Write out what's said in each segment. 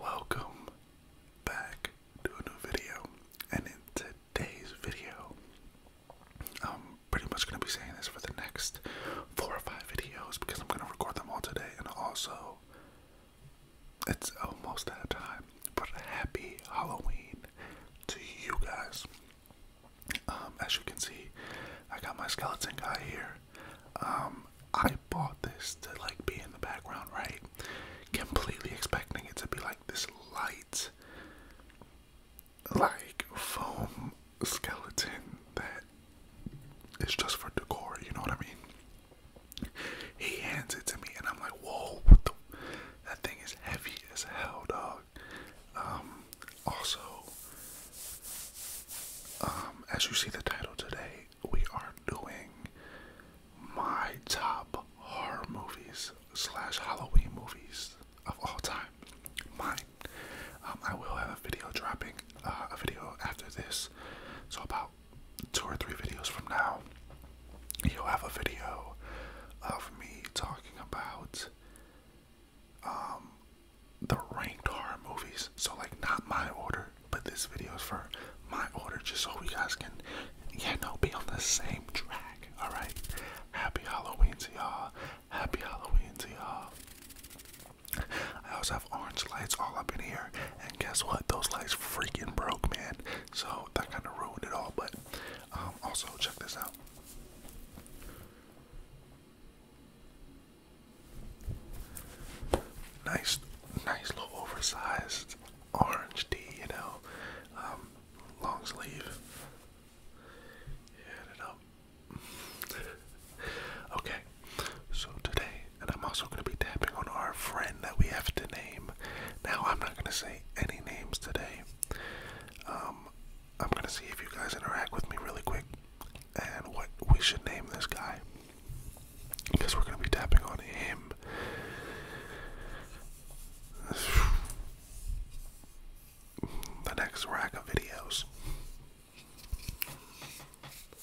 Welcome back to a new video, and in today's video, I'm pretty much going to be saying this for the next four or five videos because I'm going to record them all today and also it's almost that time, but happy Halloween to you guys. Um, as you can see, I got my skeleton guy here. Um, I bought this to like be in the background, right? Completely expecting it to be like this light, like foam skeleton that is just for decor, you know what I mean? He hands it to me, and I'm like, whoa, That thing is heavy as hell, dog. Um, also, um, as you see the title today, we are doing my top horror movies slash Halloween movies of all time. Mine. Um, I will have a video dropping, uh, a video after this, so about two or three videos from now, you'll have a video of me talking about um, the ranked horror movies. So, like, not my order, but this video is for my order, just so we guys can, yeah, no, be on the same track. All right. Happy Halloween to y'all. Happy Halloween to y'all. I also have orange lights all up in here, and guess what? Those lights freaking broke, man. So that kind of ruined it all. But um, also check this out. Nice, nice little oversized orange tee, you know, um, long sleeve. Yeah, know. okay, so today, and I'm also going to be tapping on our friend that we have to name. Now, I'm not going to say any names today. Um, I'm going to see if you guys interact with me really quick and what we should name this guy. Because we're going to be tapping on him. The next rack of videos.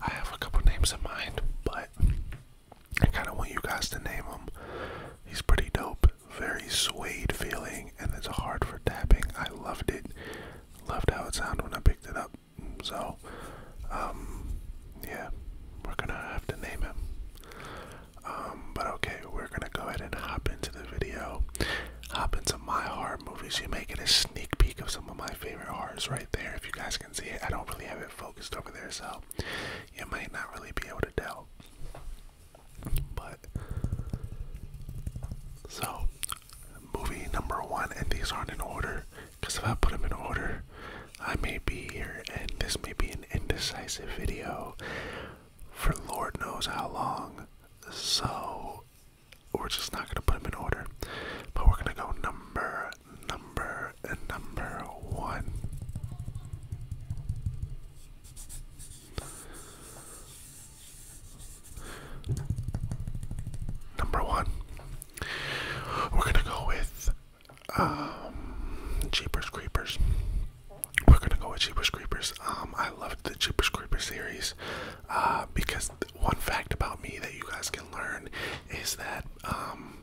I have a couple names in mind, but I kind of want you guys to name him. He's pretty dope, very suede feeling, and it's hard for tapping. I loved it, loved how it sounded when I picked it up. So, um, yeah, we're gonna have to name him. Um, but okay, we're gonna go ahead and hop into the video. Hop into my horror movies. You may get a sneak peek of some of my favorite horrors right there. If you guys can see it, I don't really have it focused over there, so you might not really be able to tell. But so, movie number one, and these aren't in order. Because if I put them in order, I may be here, and this may be an indecisive video for Lord knows how long. So we're just not gonna put them in order, but we're gonna go number, number, and number one. Number one, we're gonna go with um, Jeepers Creepers. We're gonna go with Jeepers Creepers. Um, I love the Jeepers Creepers series uh, because one fact about me that you guys can learn is that um,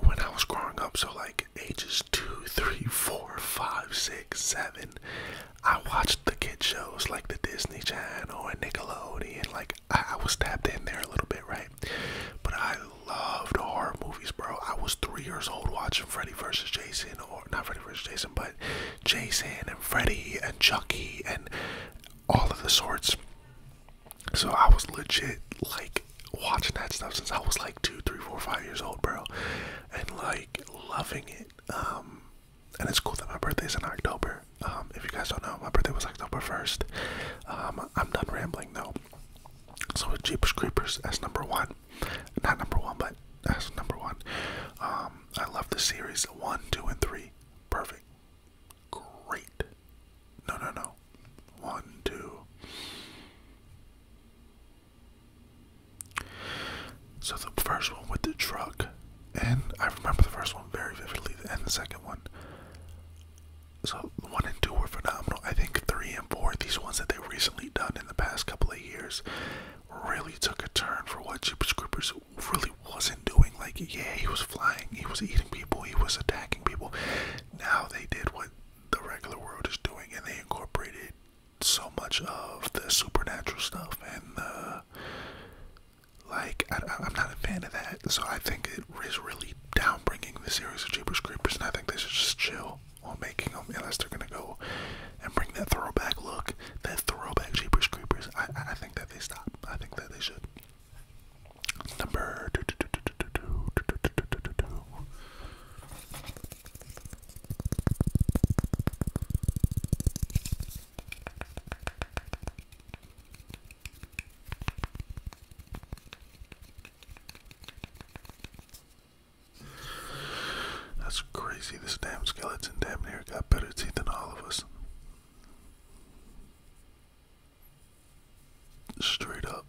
when I was growing up, so like ages two, three, four, five, six, seven, I watched the kid shows like the Disney Channel and Nickelodeon, like I, was tapped in there a little bit, right? But I loved horror movies, bro. I was three years old watching Freddy versus Jason, or not Freddy versus Jason, but Jason and Freddy and Chucky and all of the sorts. So I was legit like watching that stuff since I was like two, three, four, five years old, bro, and like loving it. Um, and it's cool that my birthday's in October. Um, if you guys don't know, my birthday was October 1st. Um, I'm done rambling though. So, with Jeepers Creepers as number one, not number one, but as number one, um, I love the series one, two, and three. Perfect. Great. No, no, no. One, two. So, the first one with the truck and I remember the first one very vividly, and the second one. So one and two were phenomenal. I think three and four, these ones that they've recently done in the past couple of years, really took a turn for what Jeepers Creepers really wasn't doing. Like, yeah, he was flying, he was eating people, he was attacking people. Now they did what the regular world is doing, and they incorporated so much of the supernatural stuff and the like, I, am not a fan of that, so I think it is really downbringing the series of Jeepers Creepers, and I think they should just chill on making them unless they're gonna go and bring that throwback look, that throwback Jeepers Creepers. I, I think that they stop. I think that they should. Number that's crazy. This damn skeleton damn near got better teeth than all of us. Straight up.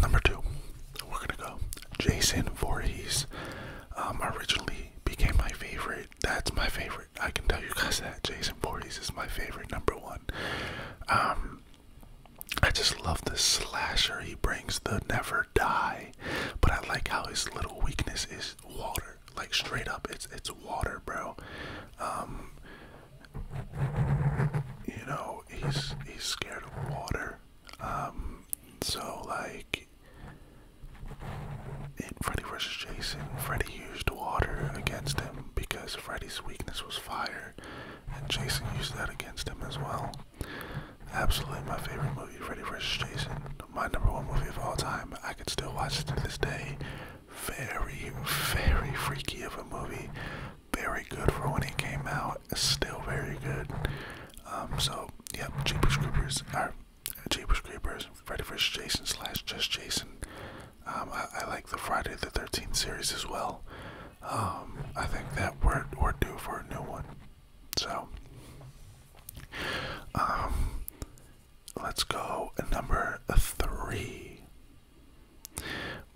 Number two, we're gonna go Jason Voorhees. Um, originally became my favorite. That's my favorite. I can tell you guys that Jason Voorhees is my favorite number one. Um, I just love the slasher he brings, the never die. But I like how his little weakness is water, like straight up, it's it's water, bro. Um, you know, he's he's scared of water. Um, so like in Freddy vs. Jason, Freddy used water against him because Freddy's weakness was fire, and Jason used that against him as well. Absolutely my favorite movie, Freddy vs. Jason. My number one movie of all time. I could still watch it to this day. Very, very freaky of a movie very good for when he came out. Still very good. Um, so yep, Jeepers Creepers are Jeepers Creepers. Friday vs. Jason slash Just Jason. Um, I, I like the Friday the Thirteenth series as well. Um, I think that we're we're due for a new one. So, um, let's go number three.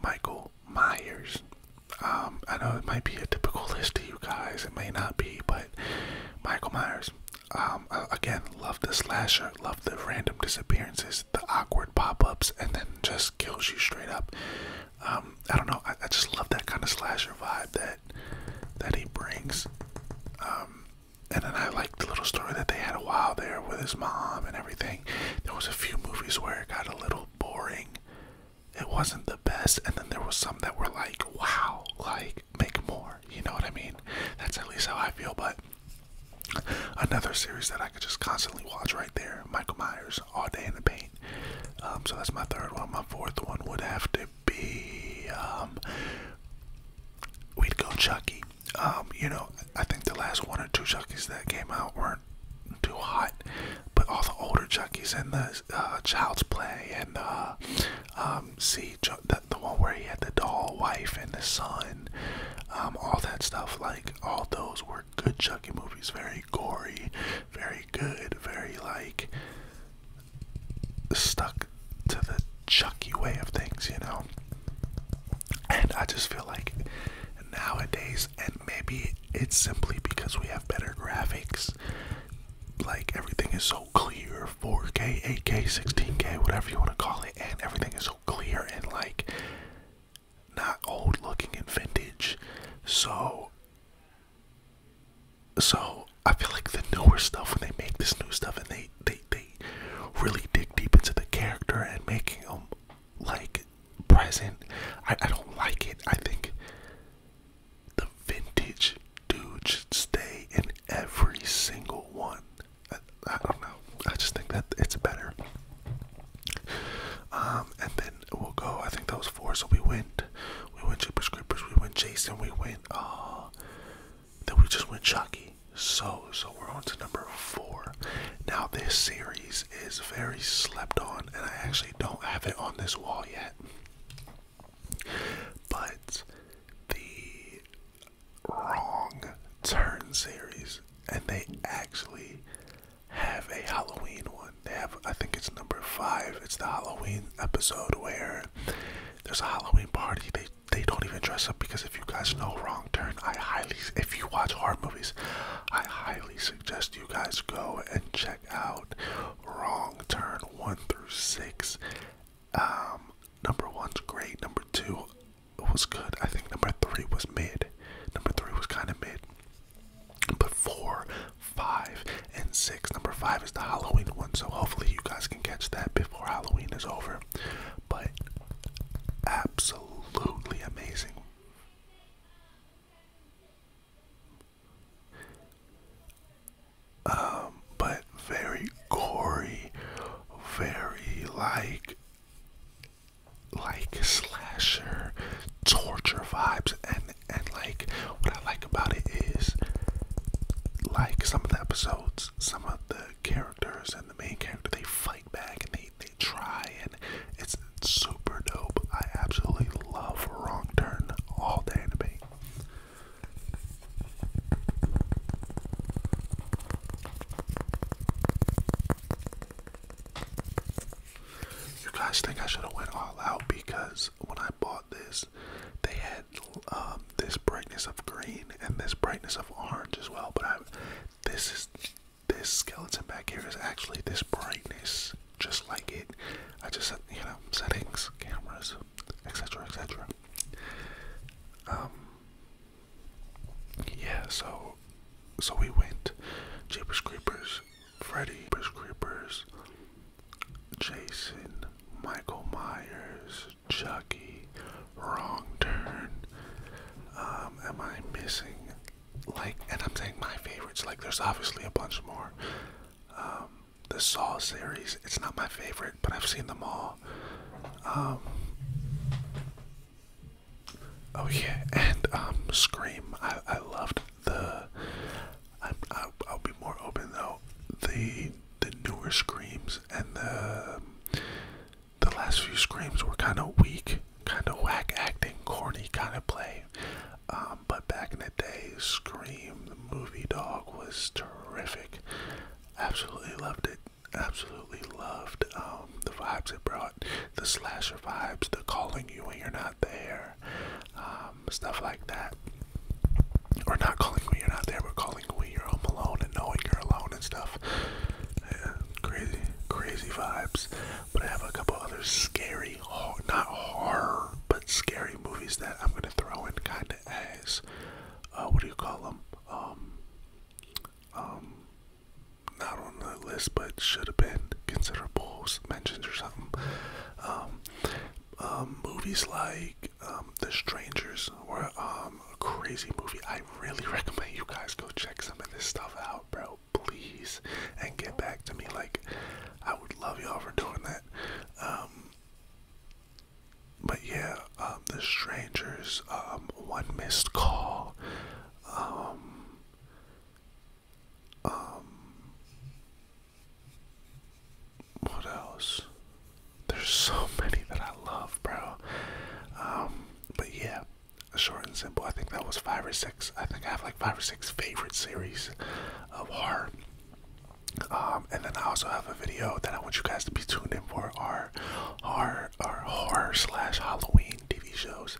Michael Myers. Um, I know it might be a typical list to you guys. It may not be, but Michael Myers. Um, again, love the slasher, love the random disappearances, the awkward pop-ups, and then just kills you straight up. Um, I don't know. I, just love that kind of slasher vibe that that he brings. and then I liked the little story that they had a while there with his mom and everything. There was a few movies where it got a little boring. It wasn't the best, and then there was some that were like, wow, like make more. You know what I mean? That's at least how I feel, but another series that I could just constantly watch right there, Michael Myers, All Day in the Paint. Um, so that's my third one. My fourth one would have to be um, we'd go Chucky. Um, you know, I think the last one or two Chuckies that came out weren't too hot, but all the older Chuckies and the uh, Child's Play and uh, um, see the, the one where he had the doll wife and the son, um, all that stuff. Like all those were good Chucky movies, very gory, very good, very like stuck to the Chucky way of things, you know. And I just feel like nowadays, and maybe it's simply because we have better graphics, like everything is so clear 4K, 8K, 16K, whatever you want to call it, and everything is so clear and like not old looking and vintage. So, so I feel like the newer stuff when they make this new stuff and they they they really dig deep into the character and making him like present. I I don't like it. I think the vintage dude should stay in every single one. I, I don't know. I just think that it's better. Um, and then we'll go. I think that was four. So we went, we went Jeepers Creepers. We went Jason. We went. oh. That we just went Chucky. So, so we're on to number four. Now, this series is very slept on, and I actually don't have it on this wall yet. But the Wrong Turn series, and they actually have a Halloween one. They have, I think it's number five. It's the Halloween episode where there's a Halloween party. They they don't even dress up because if you guys know Wrong Turn, I highly, if you watch horror movies, I highly suggest you guys go and check out Wrong Turn 1 through 6. Um, number 1's great, number 2 was good, I think number 3 was mid, number 3 was kind of mid. But four, five, and six. Number five is the Halloween one, so hopefully you guys can catch that before Halloween is over but absolutely amazing. Um, but very gory, very like, like slasher, torture vibes, and and like what I like about it is, like some of the episodes, some of the characters and the main character they fight back and they they try and it's super dope. I absolutely love Wrong Turn all day anime. You guys think I should have went all out because when I bought this, they had um, this brightness of green and this brightness of orange as well. But I, this is this skeleton back here is actually this brightness, just like it. I just said, you know, settings, cameras, etc., etc. Um, yeah. So, so we went Jeepers Creepers, Freddy, Jeepers Creepers, Jason, Michael Myers, Chucky, Wrong Turn. Um, am I missing? Like, and I'm saying my favorites. Like, there's obviously a bunch more. Um, the Saw series. It's not my favorite, but I've seen them all. Um, oh yeah, and um, Scream. I I loved the. I, I I'll be more open though. The the newer screams and the the last few screams were kind of weak, kind of whack acting, corny kind of play. Um, but back in the day, Scream the movie dog was terrific. Absolutely loved it. Absolutely loved um, the vibes it brought, the slasher vibes, the calling you when you're not there. Um, um, stuff like that. Or not calling when you're not there, but calling when you're home alone and knowing you're alone and stuff. crazy, crazy vibes. But I have a couple other scary, not horror, but scary movies that I'm gonna throw in kind of as, uh, what do you call them? Um, um, not on the list, but should have been considerable mentions or something. Um, um, movies like um, The Strangers were um, a crazy movie. I really recommend you guys go check some of this stuff out, bro. Please, and get back to me. Like, I would love y'all for doing that. but yeah, The Strangers, One Missed Call, what else? There's so many that I love, bro. Um, but yeah, short and simple. I think that was five or six. I think I have like five or six favorite series of horror. Um, and then I also have a video that I want you guys to be tuned in for our our our horror slash Halloween TV shows.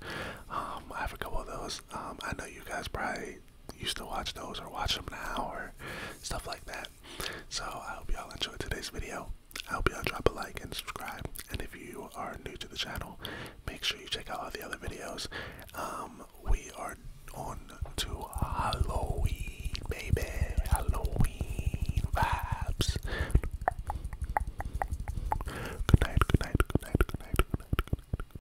Um, I have a couple of those. I know you guys probably used to watch those or watch them now or stuff like that. So I hope y'all enjoyed today's video. I hope y'all drop a like and subscribe. And if you are new to the channel, make sure you check out all the other videos. Um, we are on to Halloween, baby. Halloween vibes. good night, good night, good night. Good night.